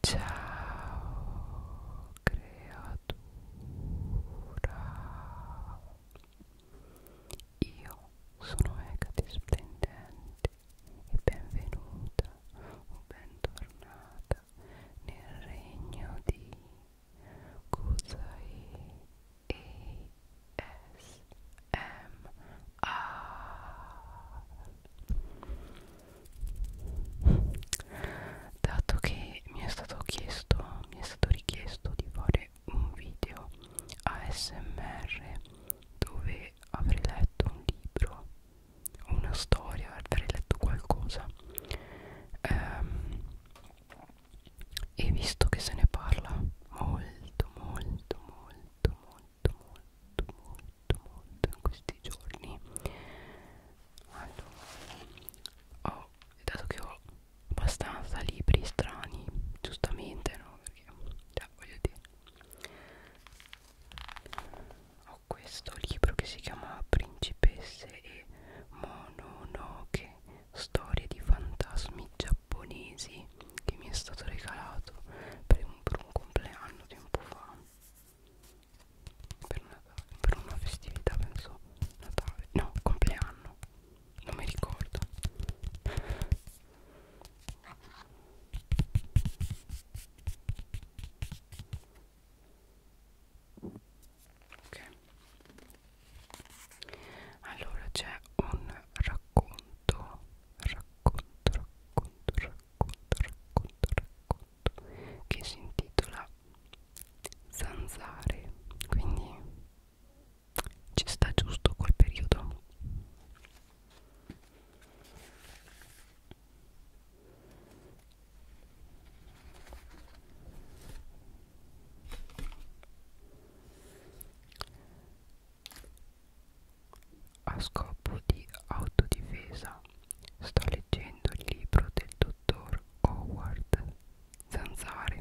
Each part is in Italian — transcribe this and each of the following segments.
Ciao creatura Io sono Hecate Splendente e benvenuta o bentornata nel regno di Kusai ASMR dato che mi è stato chiesto mi è stato richiesto di fare un video ASMR dove avrei letto un libro una storia avrei letto qualcosa ehm, e visto che se ne parla molto molto molto molto molto molto molto molto in questi giorni allora ho dato che ho abbastanza libri strani giustamente no perché cioè, voglio dire ho questo libro che si chiama principesse e mononoke storie di fantasmi giapponesi che mi è stato regalato per un, per un compleanno tempo fa per, Natale, per una festività penso Natale no compleanno non mi ricordo ok allora c'è un racconto racconto racconto racconto racconto, racconto, racconto che si intitola Zanzare, quindi ci sta giusto quel periodo. A scopo di autodifesa sto leggendo il libro del dottor Howard Zanzare.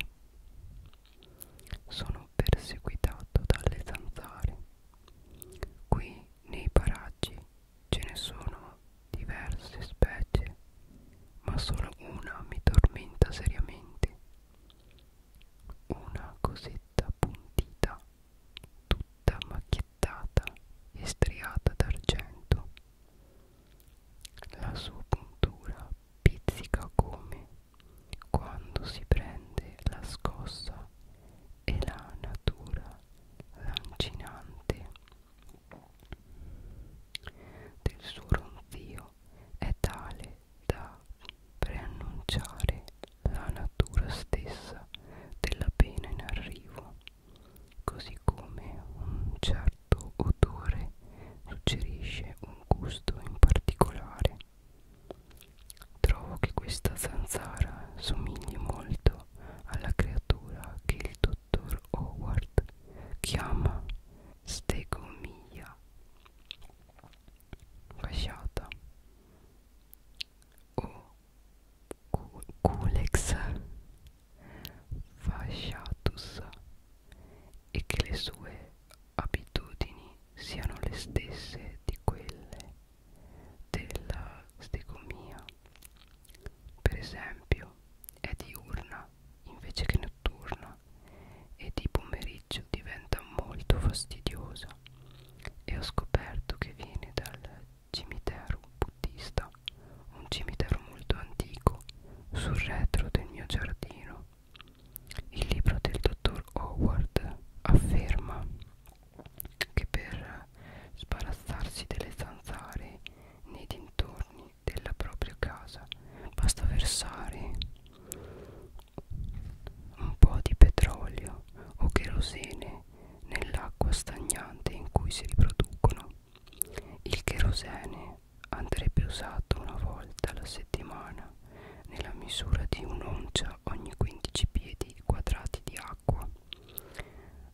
Sono perseguitato dalle zanzare. Qui nei paraggi ce ne sono diverse specie, ma solo una mi tormenta seriamente. Una cosetta puntita tutta macchiettata e striata d'argento. La sua puntura pizzica come quando si prende la scossa e la natura lancinante del suo ronzio è tale da preannunciare la natura stessa della pena in arrivo, così come un certo odore suggerisce un gusto in particolare. Trovo che questa zanzara somigli molto alla creatura che il dottor Howard chiama stegomia fasciata o cu Culex fasciatus e che le sue abitudini siano le stesse di quelle della stegomia. Per esempio, è diurna invece che notturna e di pomeriggio diventa molto fastidiosa chiesa e ho scoperto che viene dal cimitero buddista, un cimitero molto antico, sul retro del mio giardino. Il libro del dottor Howard afferma che per sbarazzarsi delle zanzare nei dintorni della propria casa basta versare un po' di petrolio o cherosene nell'acqua stagnante in cui si riproducono. Il cherosene andrebbe usato una volta alla settimana nella misura di un'oncia ogni 15 piedi quadrati di acqua,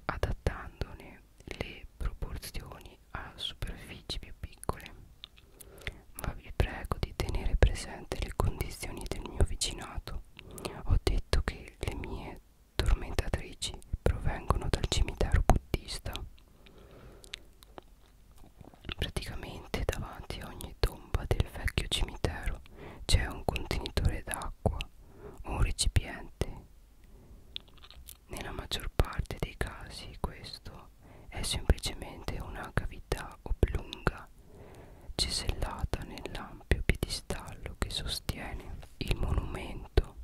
adattandone le proporzioni a superfici più piccole. Ma vi prego di tenere presente le condizioni del mio vicinato detto ho detto che le mie tormentatrici provengono dal cimitero buddista praticamente davanti a ogni tomba del vecchio cimitero c'è un contenitore d'acqua o un recipiente nella maggior parte dei casi questo è semplicemente una cavità oblunga cisellata nell'ampio piedistallo che sostiene il monumento,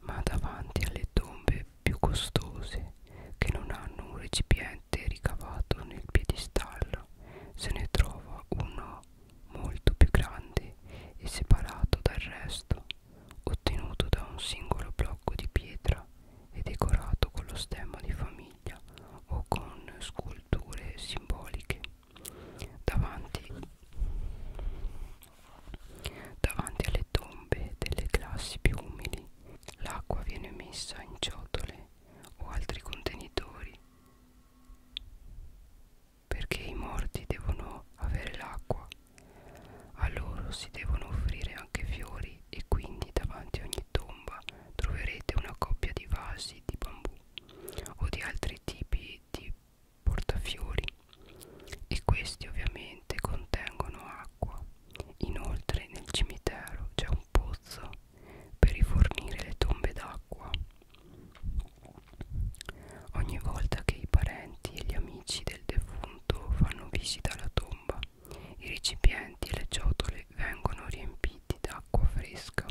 ma davanti alle tombe più costose che non hanno un recipiente ricavato nel piedistallo se ne trova uno molto più grande e separato dal resto, ottenuto da un singolo blocco di pietra e decorato con lo stemma di famiglia famiglia o con sculture simboliche davanti, davanti alle tombe delle classi più umili l'acqua viene messa in ciotole o altri contenitori perché i morti devono avere l'acqua a loro si devono offrire anche fiori e quindi davanti a ogni tomba troverete una coppia di vasi di bambù o di altri tipi di portafiori e questi ovviamente contengono acqua. Inoltre nel cimitero c'è un pozzo per rifornire le tombe d'acqua. Ogni volta che i parenti e gli amici del defunto fanno visita alla tomba, i recipienti e le ciotole vengono riempiti d'acqua fresca.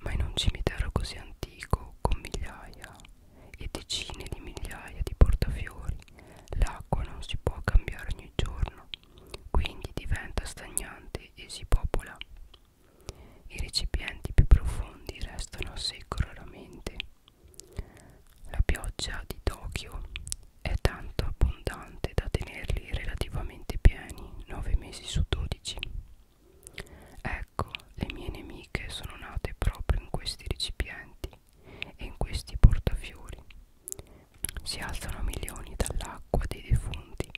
Ma in un cimitero così antico, con migliaia e decine di migliaia di portafiori, l'acqua non si può cambiare ogni giorno, quindi diventa stagnante e si popola. I recipienti più profondi restano a secco raramente. La pioggia di Tokyo è tanto abbondante da tenerli relativamente pieni 9 mesi su 12. Ecco, le mie nemiche sono nate proprio in questi recipienti e in questi portafiori. Si alzano milioni dall'acqua dei defunti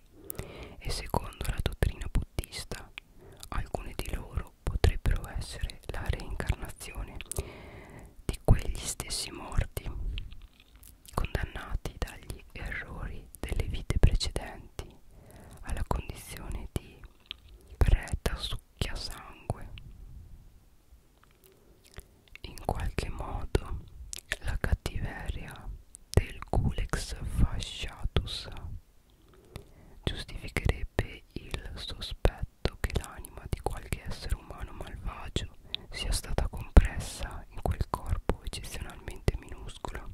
e secondo la dottrina buddista alcune di loro potrebbero essere la reincarnazione di quegli stessi morti condannati dagli errori delle vite precedenti alla condizione di preta succhiasangue. In qualche modo la cattiveria del culex fasciatus giustificherebbe il sospetto che l'anima di qualche essere umano malvagio sia stata compressa in quel corpo eccezionalmente minuscolo.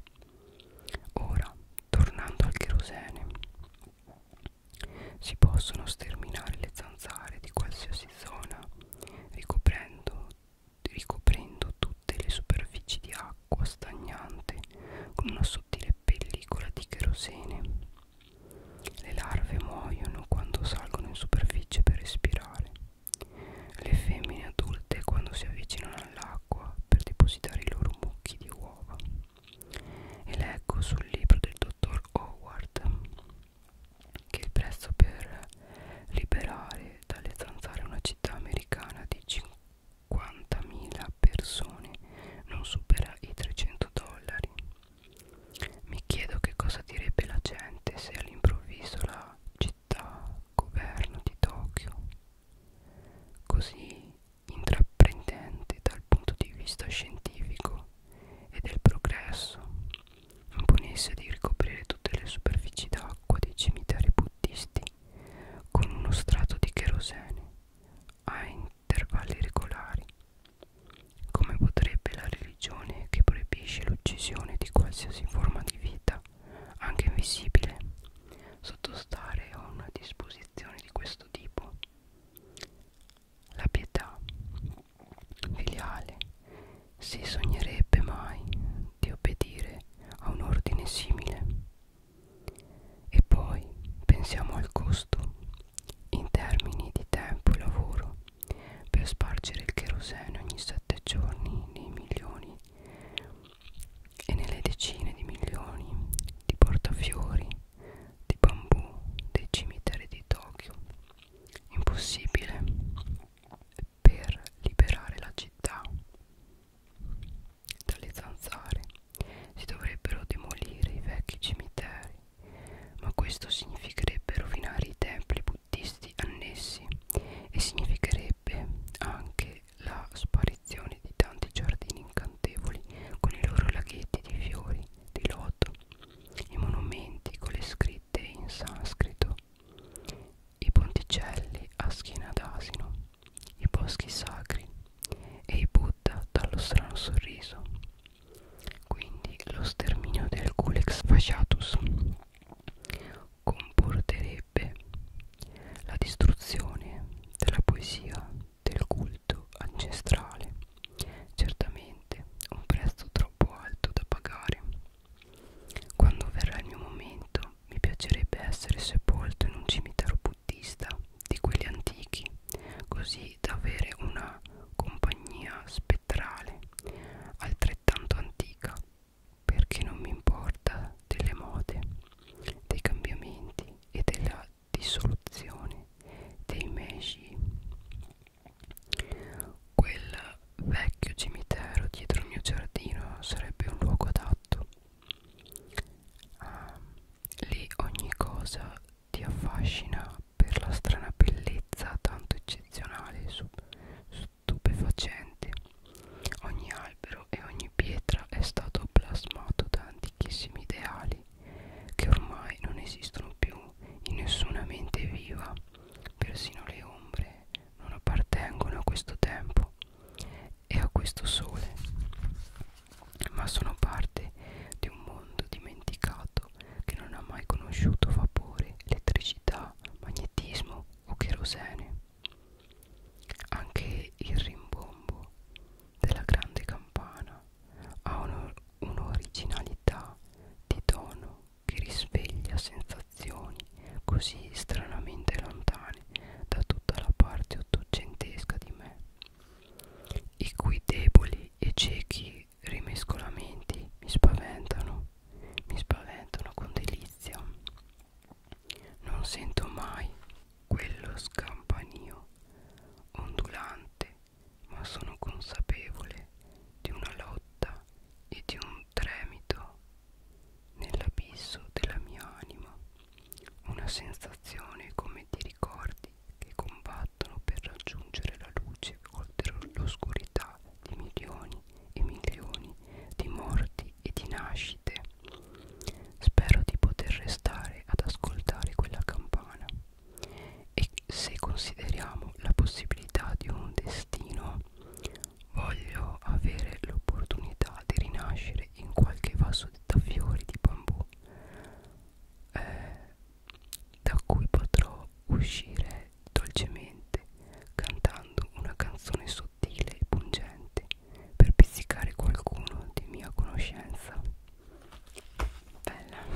Ora, tornando al cherosene, si possono sterminare le zanzare di qualsiasi zona ricoprendo, ricoprendo tutte le superfici di acqua stagnante con una sottile pellicola di cherosene. Le larve muoiono quando salgono in superficie per respirare. Le femmine adulte quando si avvicinano all'acqua per depositare i loro mucchi di uova. E leggo sul libro del dottor Howard che il prezzo per liberare dalle zanzare una città americana di 50.000 persone non supera i 300 dollari mi chiedo che cosa direbbe la gente se all'improvviso la città governo di Tokyo, così intraprendente dal punto di vista scientifico e del progresso, imponesse di ricoprire tutte le superfici d'acqua dei cimiteri buddisti con uno strato di cherosene a intervalli regolari come potrebbe la religione che proibisce l'uccisione di qualsiasi forma di vita, anche invisibile, sottostare a una disposizione di questo tipo? La pietà filiale si sognerebbe mai di obbedire a un ordine simile. E poi pensiamo al costo in termini di tempo e lavoro per spargere il cherosene ogni sette giorni nei milioni e nelle decine di milioni di portafiori di bambù dei cimiteri di Tokyo. Impossibile per liberare la città dalle zanzare si dovrebbero demolire i vecchi cimiteri ma questo significherebbe rovinare i templi buddisti annessi e significherebbe anche la sparizione di tanti giardini incantevoli con i loro laghetti di fiori, di loto, i monumenti con le scritte in sanscrito, i ponticelli a schiena d'asino, i boschi sacri e i Buddha dallo strano sorriso quindi lo sterminio del culex fasciatus comporterebbe la distruzione della poesia del culto ancestrale certamente un prezzo troppo alto da pagare quando verrà il mio momento mi piacerebbe essere sepolto in un cimitero buddista di quelli antichi così da avere una compagnia spettrale altrettanto antica, perché non mi importa delle mode, dei cambiamenti e della dissoluzione dei mesi. Quel vecchio cimitero dietro il mio giardino sarebbe un luogo adatto. Ah, lì ogni cosa ti affascina per la strana bellezza tanto eccezionale e stupefacente. Ogni albero e ogni pietra è stato plasmato da antichissimi ideali che ormai non esistono più in nessuna mente viva. Persino le ombre non appartengono a questo tempo e a questo sole, ma sono parte di un mondo dimenticato stato che non ha mai conosciuto vapore, elettricità, magnetismo o cherosene. Anche il rimbombo della grande campana ha un'originalità di tono che risveglia sensazioni così stranamente lontane da tutta la parte ottocentesca di me, i cui deboli e ciechi rimescolamenti mi spaventano, mi spaventano con delizia. Non sento mai quello scampanio ondulante, ma sono consapevole di una lotta e di un tremito nell'abisso della mia anima, una sensazione come di ricordi che combattono combattono per raggiungere la luce oltre l'oscurità di milioni e milioni di morti e di nascite. Spero di poter restare ad ascoltare quella campana e se consideriamo la possibilità di un destino voglio avere l'opportunità di rinascere in qualche vaso da fiori di bambù eh, da cui potrò uscire dolcemente cantando una canzone sottile e pungente per pizzicare qualcuno di mia conoscenza. Bella.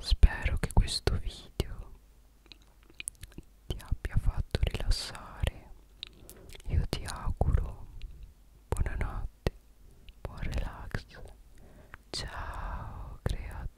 Spero che questo video ti abbia fatto rilassare. Io ti auguro buonanotte, buon relax. Ciao creatura.